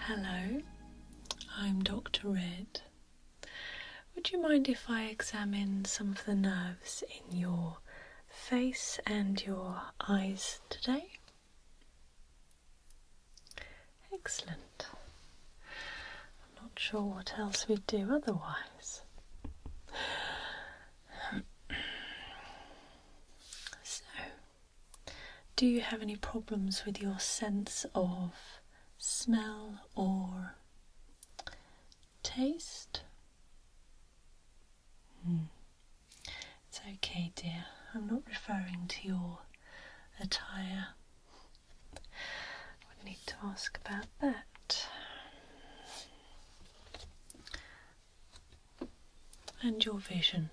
Hello, I'm Dr. Red, would you mind if I examine some of the nerves in your face and your eyes today? Excellent. I'm not sure what else we'd do otherwise. so, do you have any problems with your sense of smell or taste? Hmm. It's okay, dear. I'm not referring to your attire. I would need to ask about that. And your vision.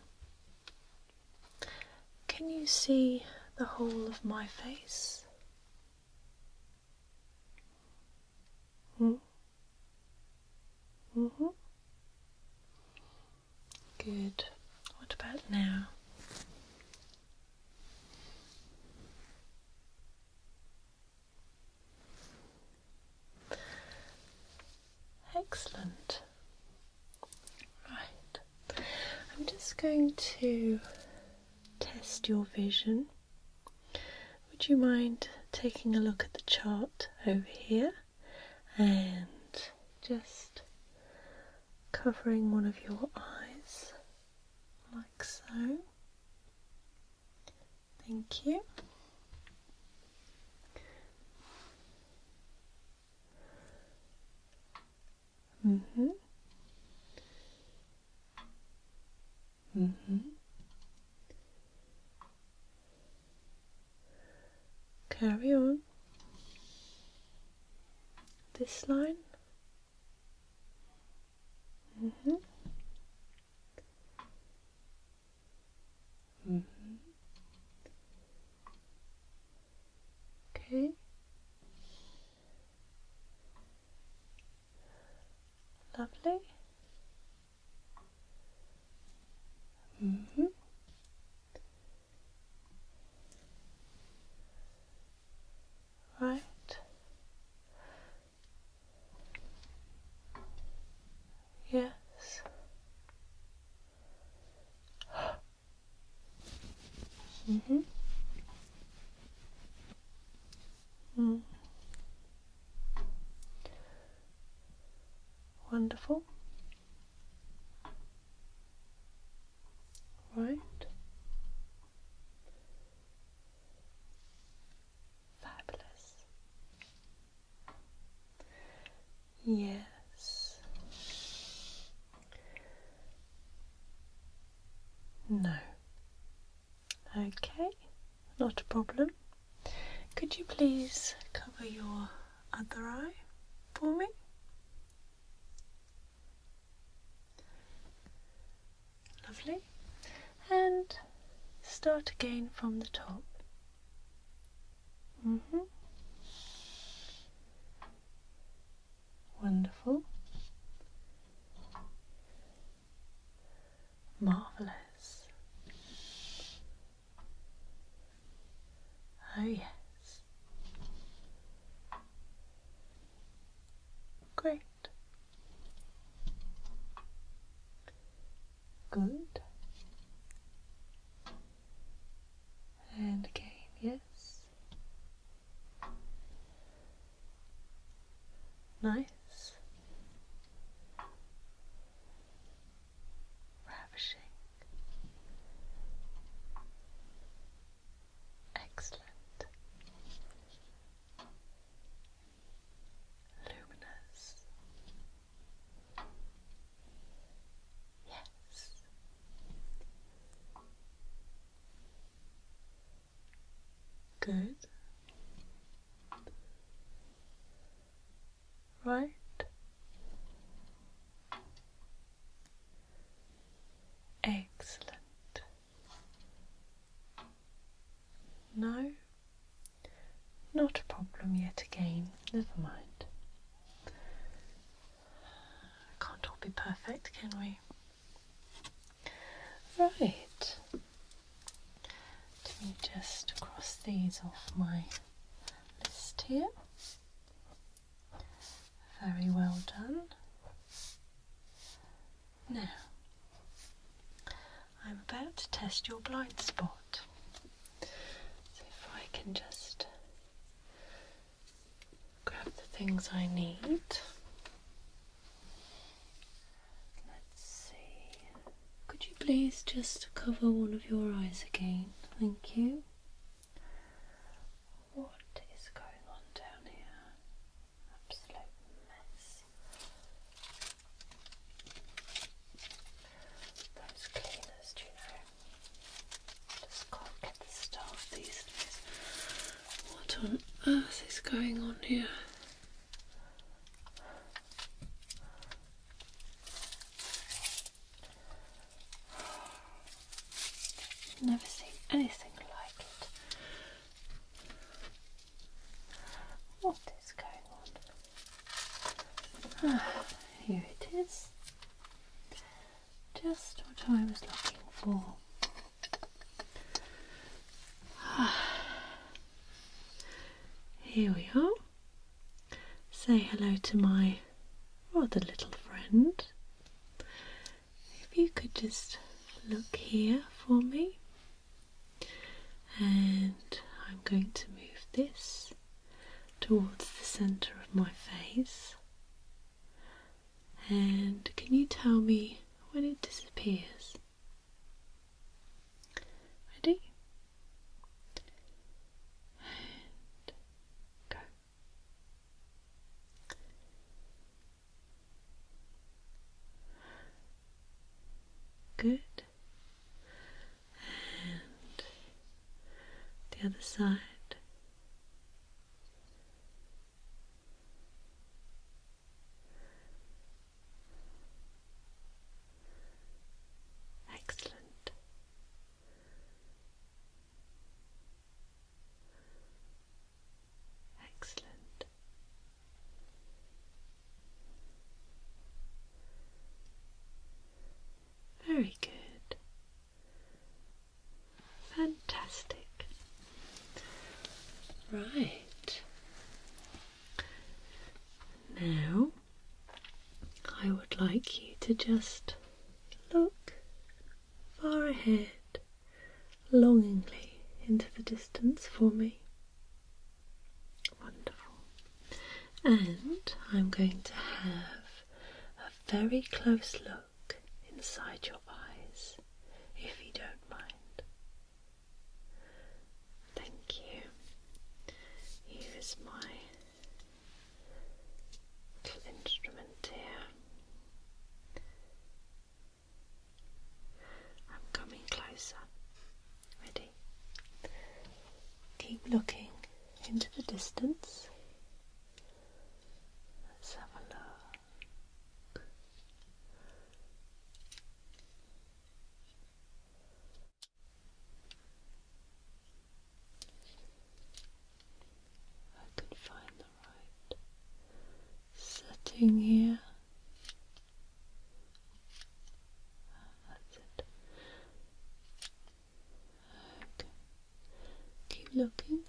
Can you see the whole of my face? hmm. Mm hmm. Good. What about now? Excellent. Right. I'm just going to test your vision would you mind taking a look at the chart over here and just covering one of your eyes like so? Thank you. Mm-hmm. Mm hmm. Carry on. This line. Mm hmm. Mm hmm. Okay. Lovely. Mm-hmm. Right. Yes. hmm Wonderful. Right. Fabulous. Yes. No. Okay, not a problem. Could you please cover your other eye for me? Lovely. And start again from the top. Mm-hmm. Wonderful. Marvellous. Oh, yes. Great. Good. And again, yes. Nice. Ravishing. Excellent. Luminous. Yes. Good. Right. Excellent. No, not a problem yet again. Never mind. Can't all be perfect, can we? Right. Let me just cross these off my list here. Very well done. Now, I'm about to test your blind spot. So if I can just grab the things I need. Let's see. Could you please just cover one of your eyes again? Thank you. What is going on down here? Absolute mess. Those cleaners, do you know? just can't get the staff these days. What on earth is going on here? Never seen anything like it. What is going on? Ah, here it is. Just what I was looking for. Here we are. Say hello to my rather little friend. If you could just look here for me, and I'm going to move this towards the centre of my face. And can you tell me when it disappears? Ready? go. Good. And the other side. Excellent. Excellent. Very good. Fantastic. Right. Now, I would like you to just look far ahead, longingly into the distance for me. Wonderful. And I'm going to have a very close look inside your eyes, if you don't mind. Thank you. Here is my little instrument here. I'm coming closer. Ready? Keep looking into the distance. Let's have a look. I can find the right setting here. That's it. Okay. Keep looking.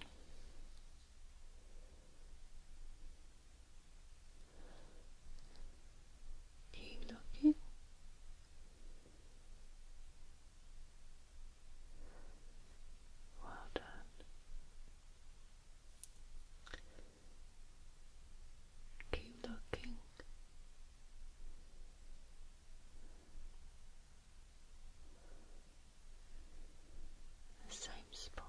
Keep looking. Well done. Keep looking. The same spot.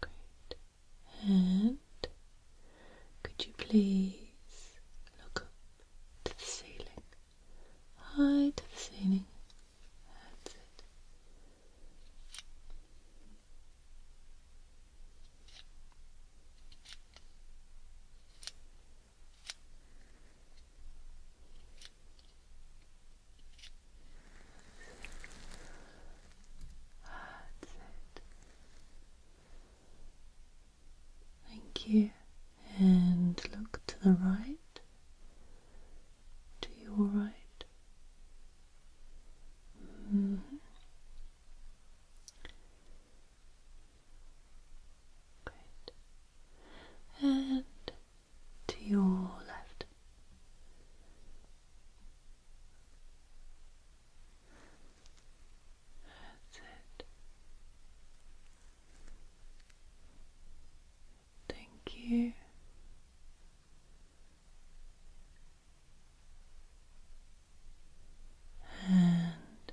Great. And could you please look up to the ceiling? High to the ceiling. That's it. That's it. Thank you. And look to the right, to your right. Mm-hmm. Great. And to your left. That's it. Thank you. And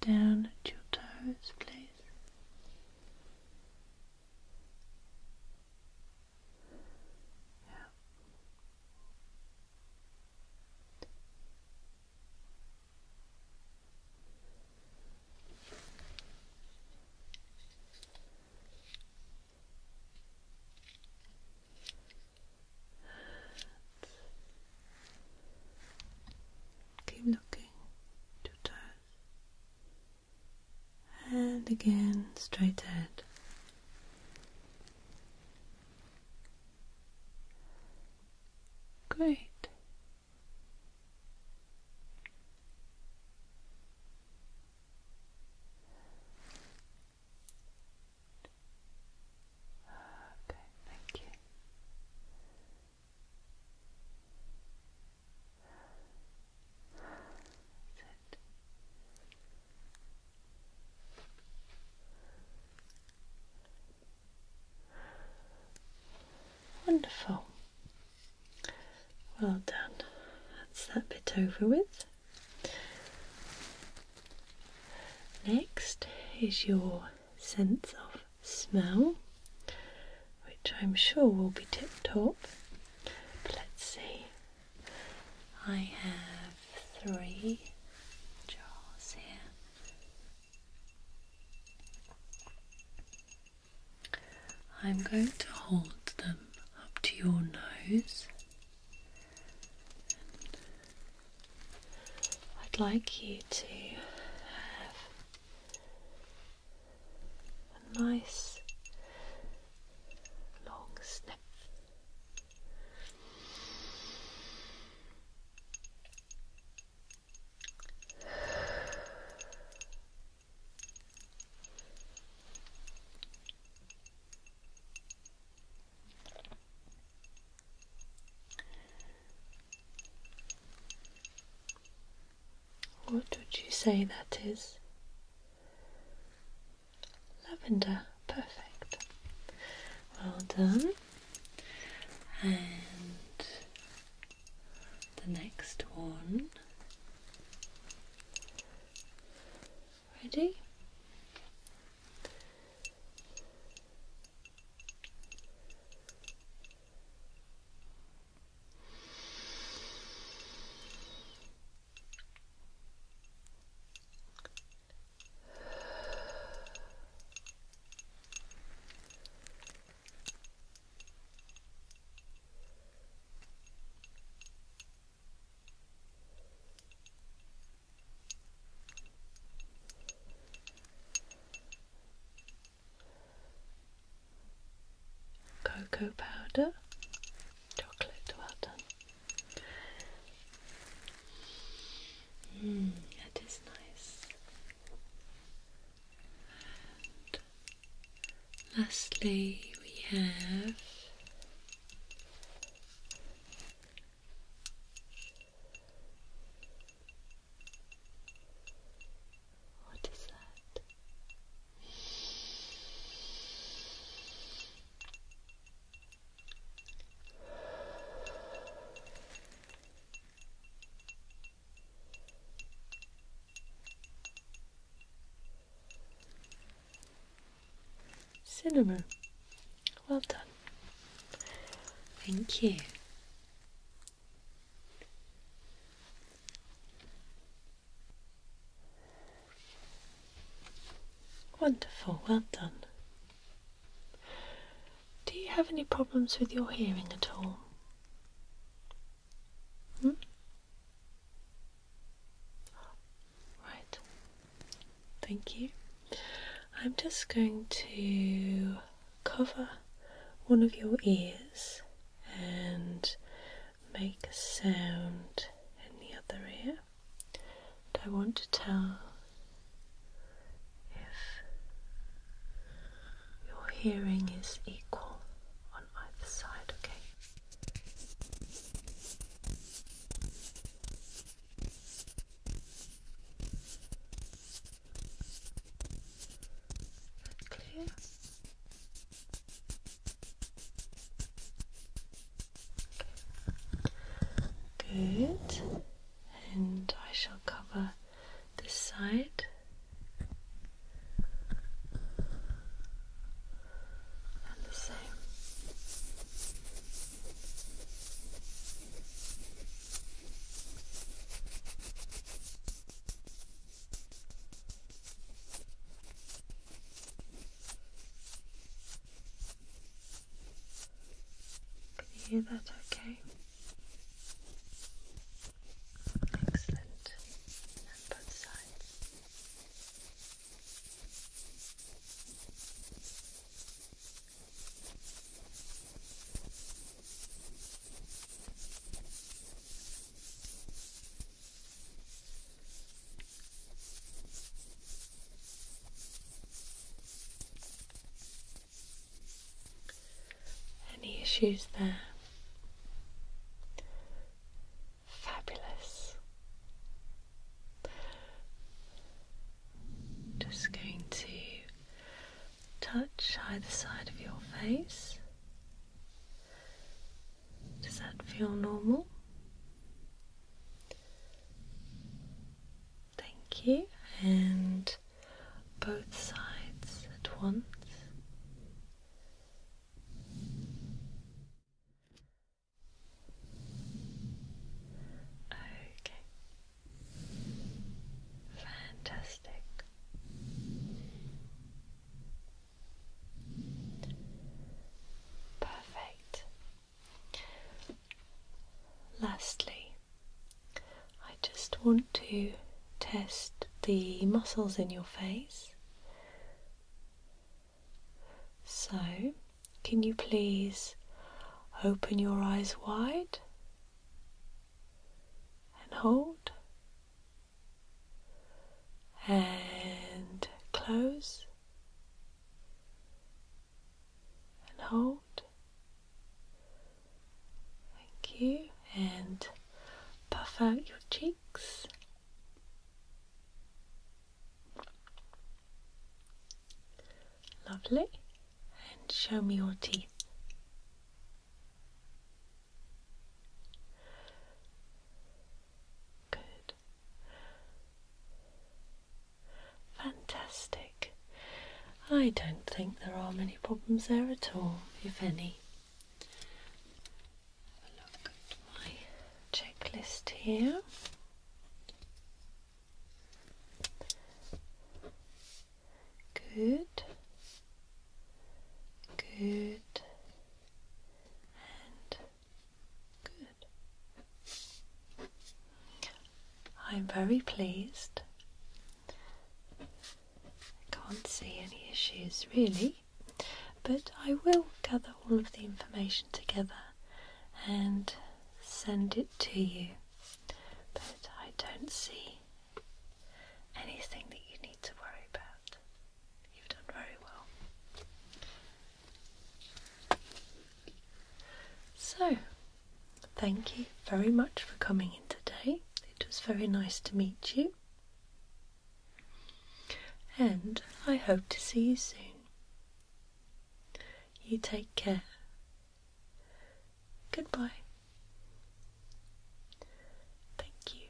down at your toes, please. Yeah. Keep looking to touch and again straight ahead. Great. Okay, thank you. Wonderful. Well done. That's that bit over with. Next is your sense of smell, which I'm sure will be tip top. let's see I have three jars here. I'm going to hold them up to your nose. I'd like you to have a nice long sniff. What would you say that is? Lavender, perfect. Well done. And the next one. Ready? Cocoa powder chocolate. Well done. Mm, it is nice. And lastly, we have what is that? Cinnamon. Well done. Thank you. Wonderful, well done. Do you have any problems with your hearing at all? Hmm? thank you. I'm just going to cover one of your ears and make a sound in the other ear. And I want to tell if your hearing is equal on either side, okay? Clear. Good. And I shall cover this side. And the same. Can you hear that okay? Excellent. And both sides. Any issues there? Fabulous. Just going to touch either side of your face. Does that feel normal? Thank you. And both sides at once. Okay. Fantastic. Perfect. Lastly, I just want to test the muscles in your face. So, can you please open your eyes wide and hold and close? and hold. Thank you, and puff out your cheeks. Lovely, and show me your teeth. Good. Fantastic. I don't think there are many problems there at all, if any. Have a look at my checklist here. Good. Good. And Good. I'm very pleased. I can't see any issues really, but I will gather all of the information together and send it to you. But I don't see anything that you need to worry about. You've done very well. So, thank you very much for coming in today. It was very nice to meet you. And I hope to see you soon. You take care. Goodbye. Thank you.